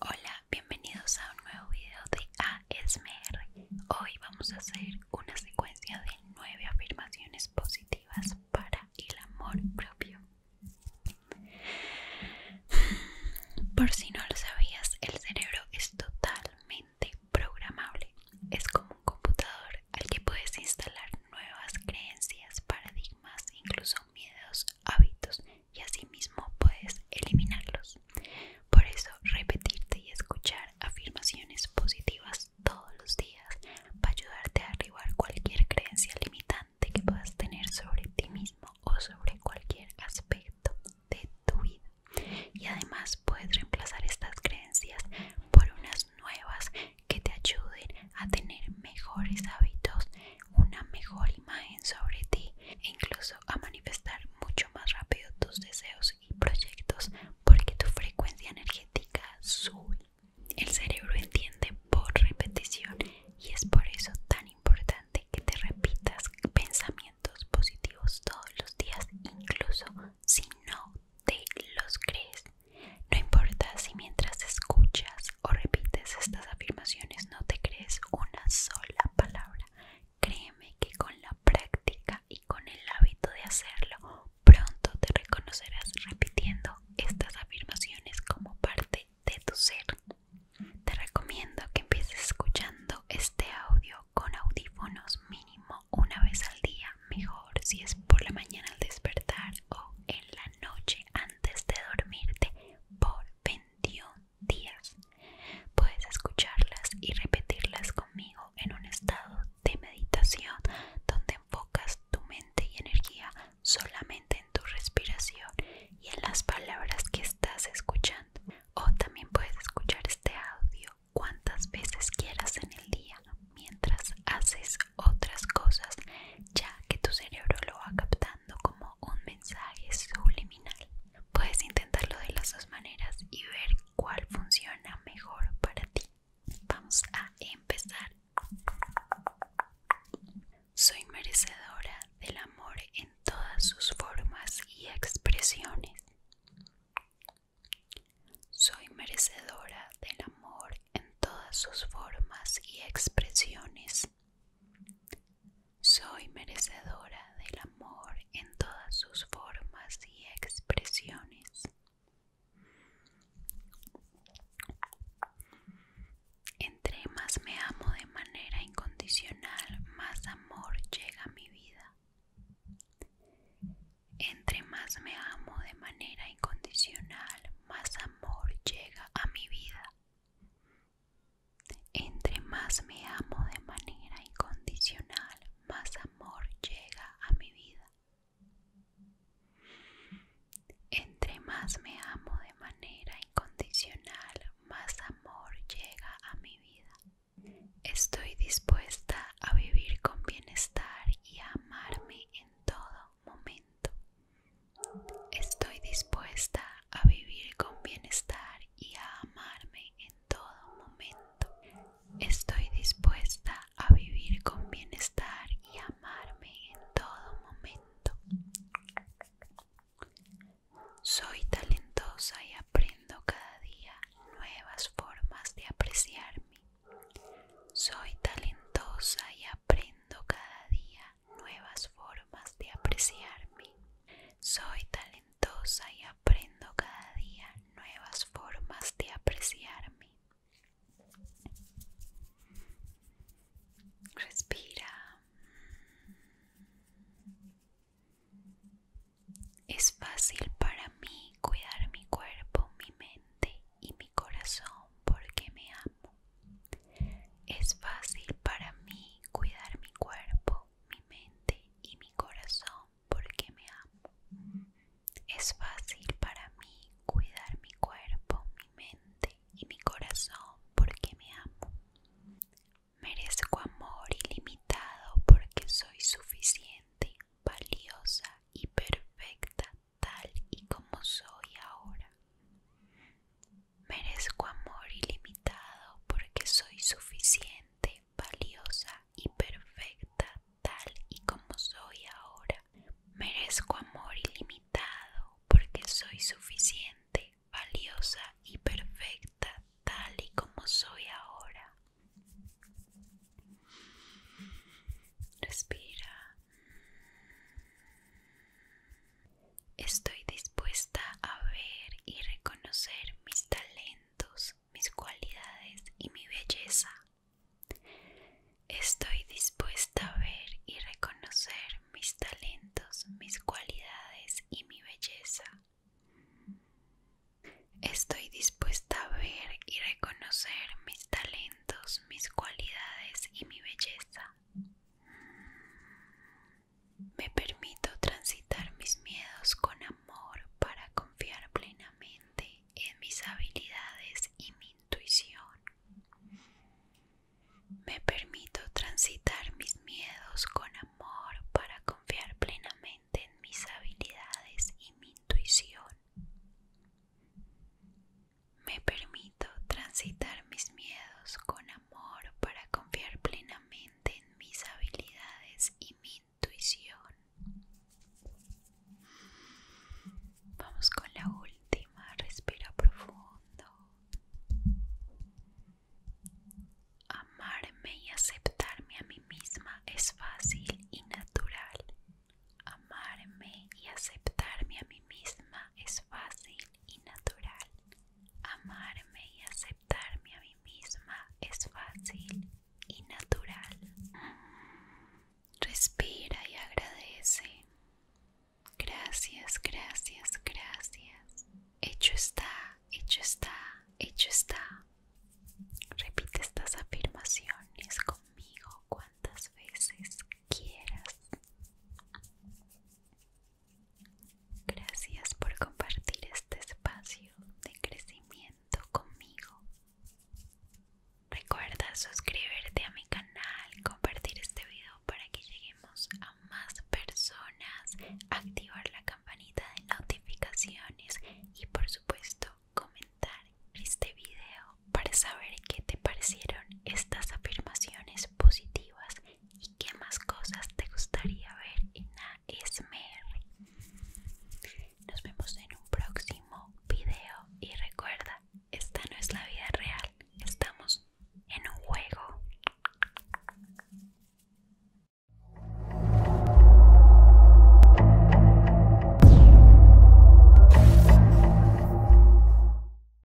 Hola, bienvenidos a un nuevo video de ASMR. Hoy vamos a hacer una secuencia de nueve afirmaciones positivas para el amor propio. Por si no lo sabías, el cerebro es totalmente programable. Es como un computador al que puedes instalar nuevas creencias, paradigmas, incluso miedos, hábitos y asimismo puedes eliminarlos. Por eso repetirte y escuchar afirmaciones positivas todos los días va a ayudarte a arribar cualquier creencia limitante que puedas tener sobre ti mismo o sobre cualquier aspecto de tu vida. Y además puedes reemplazar estas creencias por unas nuevas que te ayuden a tener mejores hábitos, una mejor imagen sobre ti e incluso a manifestar mucho más rápido tus deseos y proyectos porque tu frecuencia energética sube. El cerebro entiende por repetición y es por eso tan importante que te repitas pensamientos positivos todos los días, incluso si no te los crees. No importa si mientras escuchas o repites estas afirmaciones no te crees una sola palabra. Créeme que con la práctica y con el hábito de hacerlo, pronto te reconocerás repitiendo estas afirmaciones como parte de tu ser. Te recomiendo que empieces escuchando este audio con audífonos mínimo una vez al día, mejor si es por la mañana al despertar o en la noche antes de dormirte por 21 días. Puedes escucharlas y repetirlas conmigo en un estado de meditación donde enfocas tu mente y energía solamente en tu respiración y en las palabras que estás escuchando. O también puedes escuchar este audio cuantas veces quieras en el día mientras haces otras cosas, ya que tu cerebro lo va captando como un mensaje subliminal. Puedes intentarlo de las dos maneras y ver cuál funciona mejor para ti. Vamos a empezar. Soy merecedora del amor en todas sus formas y expresiones. Soy merecedora del amor en todas sus formas y expresiones. Soy merecedora del amor en todas sus formas y expresiones. Entre más me amo de manera incondicional, más amor llega a mi vida. Entre más me amo de manera incondicional, más amor llega a mi vida. Entre más me amo de manera incondicional, más amor llega a mi vida. Entre más me amo de manera incondicional, más amor llega a mi vida. Estoy dispuesta a vivir con bienestar y a amarme en todo momento. Estoy dispuesta a vivir con bienestar y a amarme en todo momento. Estoy dispuesta a vivir con bienestar y amarme en todo momento. Soy talentosa y aprendo cada día nuevas formas de apreciarme. Soy talentosa y aprendo cada día nuevas formas de apreciarme. Soy talentosa y aprendo cada día nuevas formas de apreciarme. Respira. Es fácil para mí cuidar mi cuerpo, mi mente y mi corazón porque me amo. Es fácil para mí cuidar mi cuerpo, mi mente y mi corazón porque me amo. Es fácil para mí cuidar mi cuerpo, mi mente y mi corazón porque me amo. Merezco amor ilimitado porque soy suficiente, valiosa y perfecta tal y como soy ahora. Merezco amor ilimitado porque soy suficiente valiosa y perfecta tal y como soy ahora. Merezco amor ilimitado porque soy suficiente, valiosa y perfecta tal y como soy ahora. Respira. Estoy dispuesta a ver y reconocer mis talentos, mis cualidades y mi belleza. Estoy dispuesta a ver y reconocer mis talentos, mis cualidades y mi belleza. Estoy dispuesta a ver y reconocer mis talentos, mis cualidades y mi belleza. Me permito transitar mis miedos con amor para confiar plenamente en mis habilidades y mi intuición. Me permito transitar mis miedos con amor para confiar plenamente en mis habilidades y mi intuición. Me permito transitar mis miedos con amor para confiar plenamente mis habilidades y mi intuición. Vamos con la última, respira profundo. Amarme y aceptarme a mí misma es fácil y natural. Amarme y aceptarme a mí misma es fácil y natural. Amarme y aceptarme a mí misma es fácil y natural. Respira y agradece. Gracias, gracias, gracias. Hecho está, hecho está, hecho está. Repite estas afirmaciones conmigo cuantas veces quieras. Gracias por compartir este espacio de crecimiento conmigo. Recuerda suscribirte a mi canal, compartir este video para que lleguemos a más personas, activar la campanita de notificaciones y por supuesto comentar este video para saber qué te parecieron estas afirmaciones positivas ¿Y qué más cosas te gustaría ver en ASMR? Nos vemos en un próximo video y recuerda, esta no es la vida real, estamos en un juego.